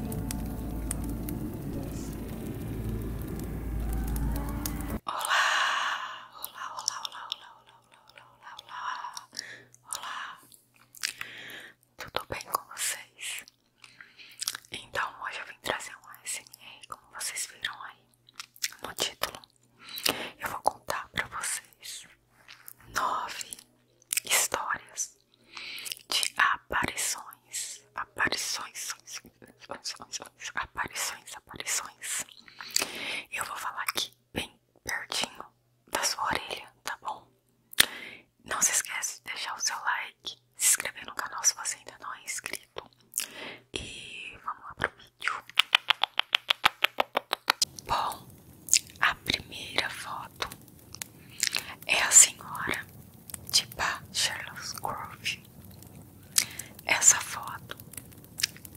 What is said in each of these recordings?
olá, olá, olá, olá, olá, olá, olá, olá, olá, tudo bem com vocês? Então hoje eu vim trazer um ASMR, como vocês viram aí no título, eu vou contar pra vocês nove histórias de aparições, aparições, aparições, aparições, aparições. Eu vou falar aqui bem pertinho da sua orelha, tá bom? Não se esqueça de deixar o seu like, se inscrever no canal se você ainda não é inscrito. E vamos lá pro vídeo. Bom, a primeira foto é a senhora de Pá Charles Grove. Essa foto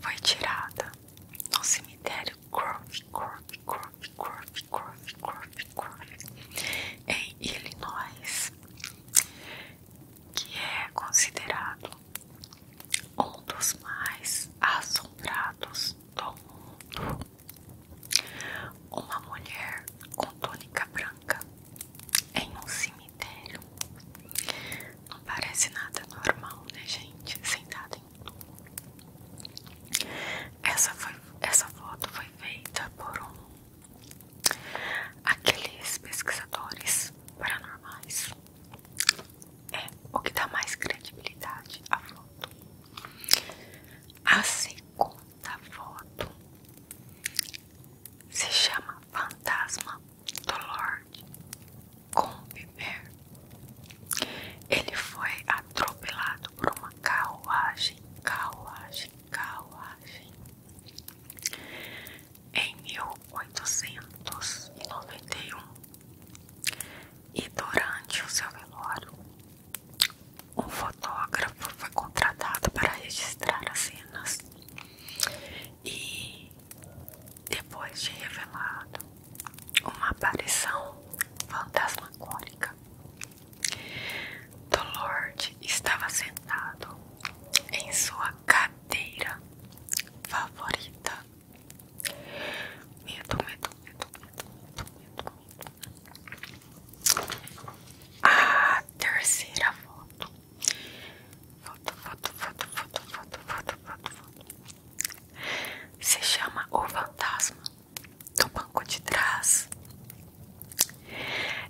foi tirada no cemitério Grove, Grove, Grove, Grove, Grove, Grove, Grove em Illinois, que é considerado um dos mais assombrados do mundo uma mulher com túnica branca em um cemitério. Não parece nada normal, né, gente? Sentada em. Essa, foi, essa foto foi feita por um. Aqueles pesquisadores paranormais é o que dá mais credibilidade à foto. Assim segunda foto se chama Fantasma do Lorde Combiver. Ele foi atropelado por uma carruagem, carruagem, carruagem em 1891 e durante o seu velório um fotógrafo foi contratado para registrar as cenas e depois de revelado uma aparição fantasmagórica, Dolord estava sentado em sua cadeira favorita. Medo, medo, medo, medo, medo, medo, a terceira foto. Foto, foto, foto, foto, foto, foto, foto, foto. Se chama O Fantasma do Banco de Trás.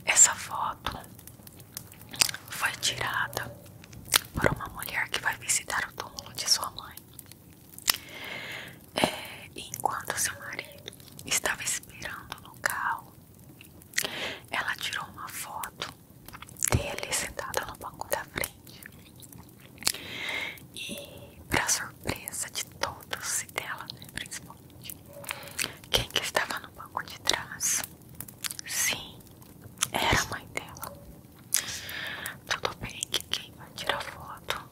Essa foto foi tirada por uma mulher que vai visitar o túmulo de sua mãe. É, enquanto seu marido estava esperando no carro, ela tirou uma foto dele sentado no banco da frente. E, para surpresa de todos e dela, né, principalmente, quem que estava no banco de trás? Sim, era a mãe dela. Tudo bem que quem vai tirar foto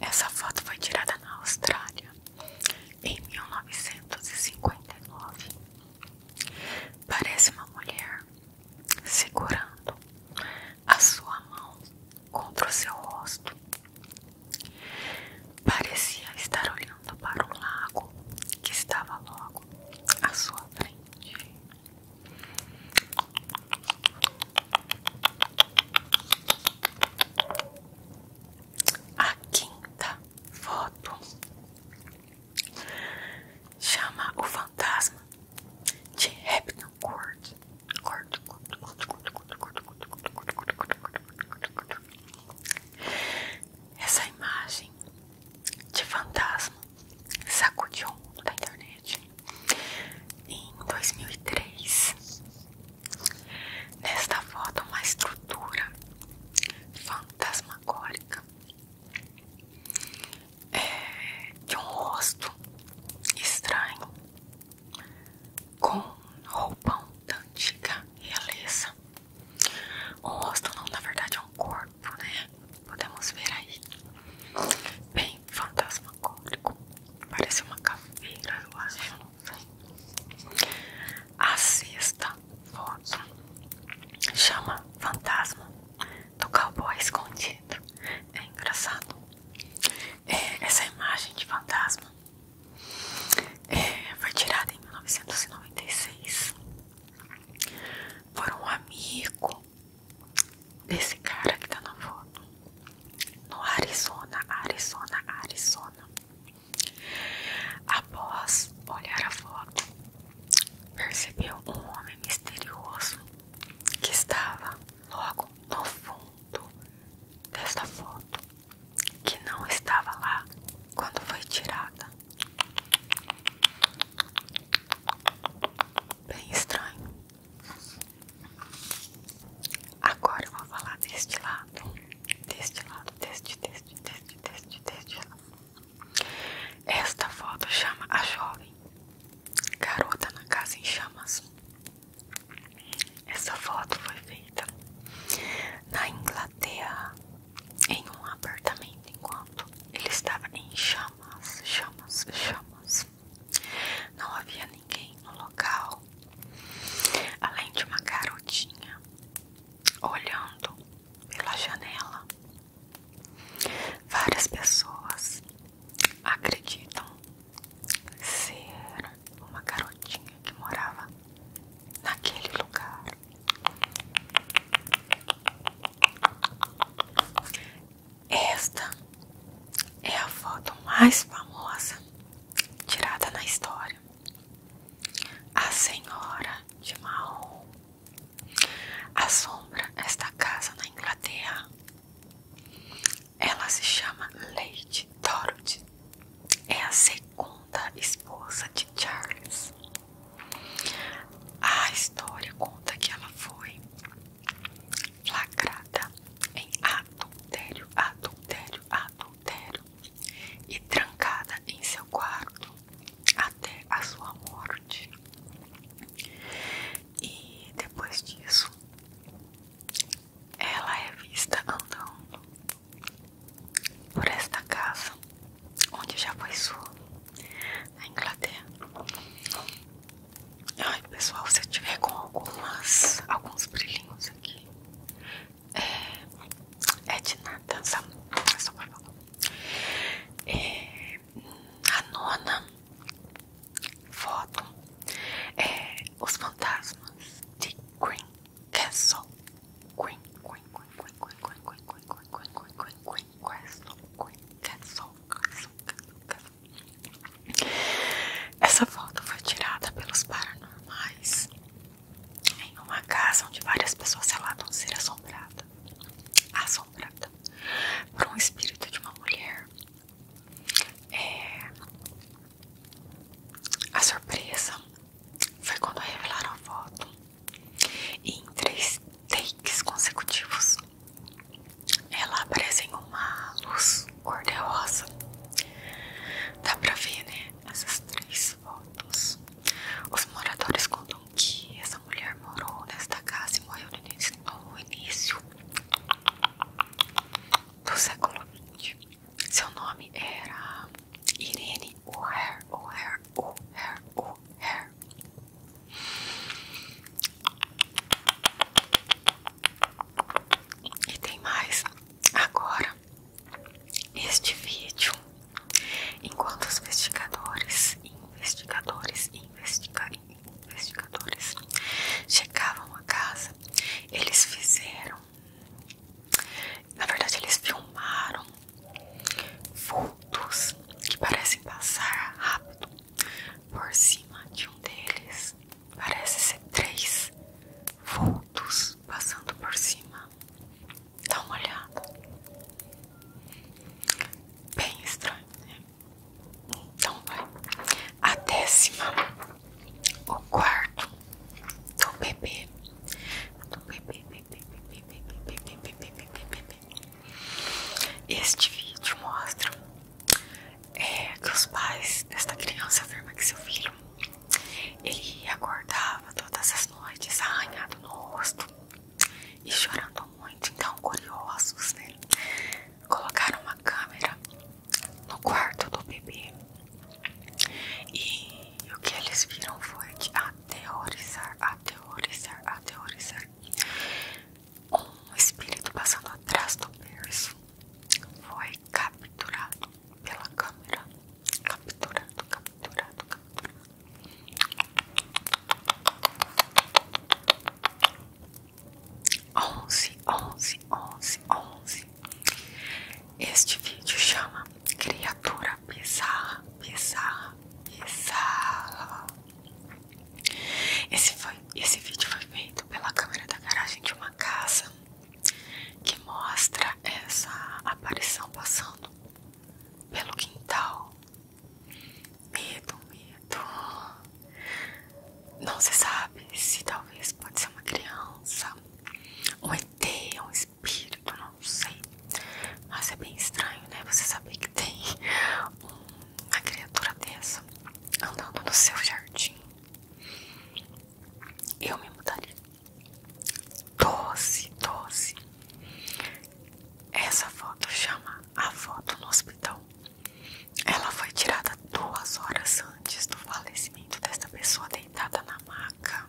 essa foto foi tirada na Austrália em 1959. Parece uma mulher segurando a sua mão contra o seu rosto. Parecia estar olhando para um lago que estava logo à sua frente. A quinta foto chama o fantasma de Repton Court. Court, Court, Court, Court, Court, Court, Court, Court, Court, Court, Court, Court, Essa imagem de fantasma sacudiu da internet em 2003. Nesta foto, uma estrutura fantasmagórica é, de um rosto estranho com roupão da antiga realeza. O rosto não, na verdade, é um corpo, né? Podemos ver aí. Bem fantasma cólico Parece uma caveira, eu acho. Não sei. A sexta foto chama Fantasma do Cowboy Escondido. É engraçado. É, essa imagem de fantasma é, foi tirada em 1996 por um amigo desse cara que tá na foto no Arizona, Arizona, Arizona. Após olhar a foto, percebeu um homem misterioso que estava logo no fundo desta foto, que não estava lá quando foi tirada. Bem estranho. Agora eu vou falar deste lado. Deste lado, deste, deste, deste, deste, deste lado. Esta foto chama a jovem garota na casa em chamas. Essa foto foi feita na Inglaterra em um apartamento em ele estava em chamas, chamas, chamas. Não havia ninguém no local, além de uma garotinha olhando pela janela. Várias pessoas acreditam ser uma garotinha que morava naquele lugar. Esta é a foto mais famosa tirada na história. A Senhora de Marrom assombra esta casa na Inglaterra. Ela se chama Lady Dorothy. É a segunda esposa de Charles. A história conta que ela foi flagrada em adultério, adultério, adultério e trancada em seu quarto até a sua morte. E depois disso, ela é vista andando por esta casa onde já foi sua na Inglaterra. Ai, pessoal, se eu tiver com algumas, alguns brilhinhos aqui, é, é de nada, só, só por favor. É, a nona foto é os fantasmas de Green Castle. Queen, Queen, Queen, Queen, Queen, Queen, Queen, Queen, Queen, Queen, Queen, Queen, Queen, essa foto foi tirada pelos paranormais em uma casa onde várias pessoas relatam ser assombrada, assombrada por um espírito de uma mulher. É, a surpresa foi quando revelaram a foto em três takes consecutivos, ela aparece em uma luz cor-de-rosa. Dá pra ver, né? Essas três fotos. Os moradores contam que essa mulher morou nesta casa e morreu no início do século XX. Seu nome era Irene O'Hare, O'Hare, O'Hare, O'Hare. E tem mais agora. Este vídeo, enquanto os investigadores, investigadores, investigadores chegavam a casa, eles fizeram, na verdade, eles filmaram vultos que parecem passar rápido por cima de um deles. Parece ser três vultos passando por cima. Dá uma olhada. Bem estranho, né? Então vai. A décima, o quarto do bebê. Do bebê, bebê, bebê, bebê, bebê, bebê, bebê, bebê, bebê, este vídeo mostra é, que os pais desta criança afirmam que seu filho ele acordava todas as noites arranhado no rosto e chorando muito. Então, curiosos, né? Colocaram uma câmera no quarto do bebê e o que eles viram foi que a teorizar, aterrorizar, teorizar Um espírito passando atrás do berço foi capturado pela câmera. Capturado, capturado, capturado. Onze, onze, onze, onze. Este vídeo chama criatura bizarra, bizarra, bizarra. Esse, foi, esse vídeo foi feito pela câmera da garagem de uma casa que mostra essa aparição passando pelo quintal. Medo, medo. Não se sabe se talvez pode ser uma criança, um ET, um espírito, não sei. Mas é bem estranho, né? Você saber que tem uma criatura dessa andando no seu jardim. Eu me mudaria. Doce, doce. Essa foto chama a foto no hospital. Ela foi tirada duas horas antes do falecimento desta pessoa deitada na maca.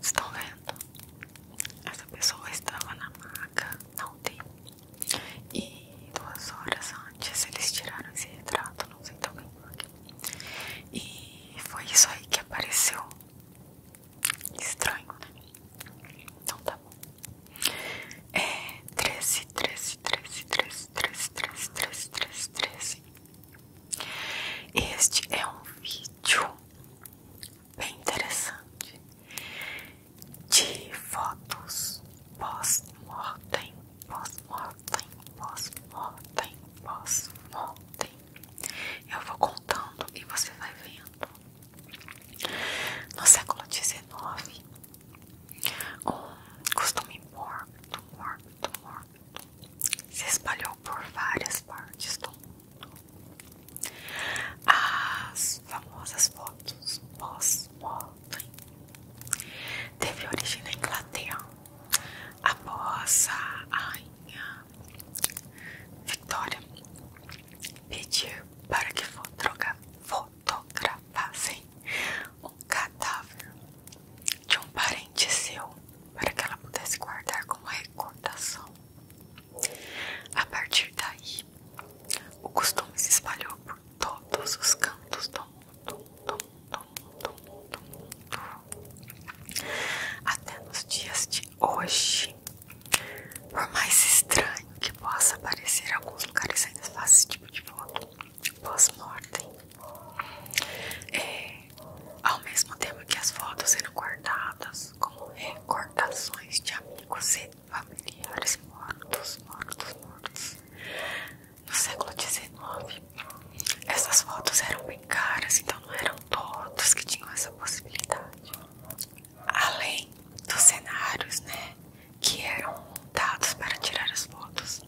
Estão vendo? Essa pessoa estava na maca, não tem. E duas horas antes eles tiraram esse retrato, não sei também porquê. E foi isso aí que apareceu. Estranho, né? Então tá bom. É 13, 13, 13, 13, 13, 13, 13, 13, 13. Este é um vídeo bem interessante de fotos pós-mortem, pós-mortem, pós-mortem, pós-mortem. Eu vou contando e você vai vendo. No século XIX, um costume mórbido, mórbido, mórbido se espalhou por várias partes do mundo. As famosas fotos pós-mortem teve origem na Inglaterra após a rainha Victoria pedir para que fotogra fotografassem um cadáver de um parente seu para que ela pudesse guardar como recordação. A partir daí, o costume se espalhou por todos os cantos do mundo, do mundo, do mundo, do mundo. até nos dias de hoje. Por mais estranho que possa parecer, alguns lugares ainda fazem esse tipo de voto pós-mortem. É, ao mesmo tempo que as fotos eram guardadas como recordações de amigos e familiares mortos, mortos, mortos. No século XIX, essas fotos eram bem caras, então não eram todos que tinham essa possibilidade. Além dos cenários, né, que eram montados para tirar as fotos,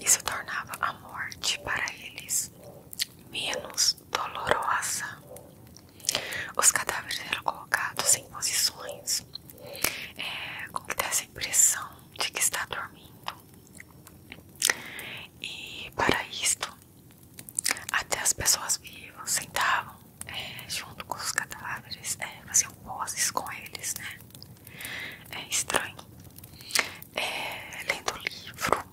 isso tornava a morte para eles menos dolorosa. Os cadáveres eram colocados em posições é, com que dessa impressão de que está dormindo. E para isto, até as pessoas vivas sentavam é, junto com os cadáveres, é, faziam poses com eles, né? É estranho. É, lendo livro,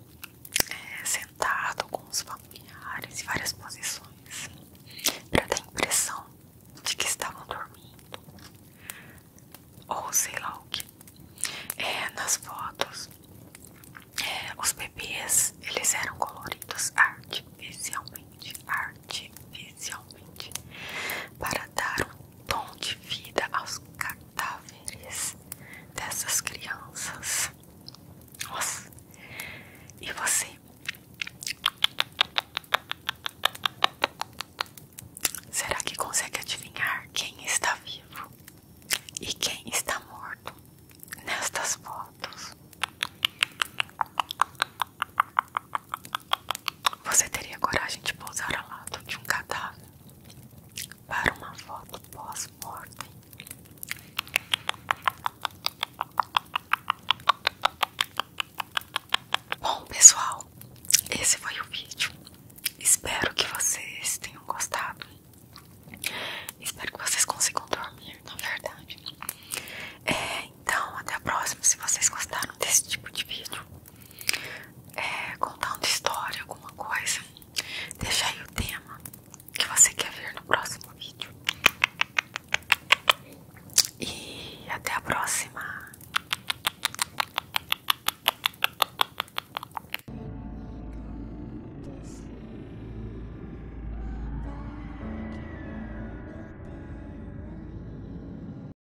é, sentado com os familiares em várias posições, para dar a impressão de que estavam dormindo, ou sei lá o que. É, nas fotos, os bebês eles eram coloridos artificialmente, artificialmente, para dar um tom de vida aos cadáveres dessas crianças. E você Será que consegue adivinhar quem está vivo e quem está morto nestas fotos? Você teria coragem de pousar ao lado de um cadáver para uma foto pós morte? Bom, pessoal, esse foi o vídeo. Espero que vocês tenham gostado. Espero que vocês consigam dormir, na verdade. É, então, até a próxima. Se vocês gostaram desse tipo de vídeo, é, contando história, alguma coisa, deixa aí o tema que você quer ver no próximo vídeo. E até a próxima!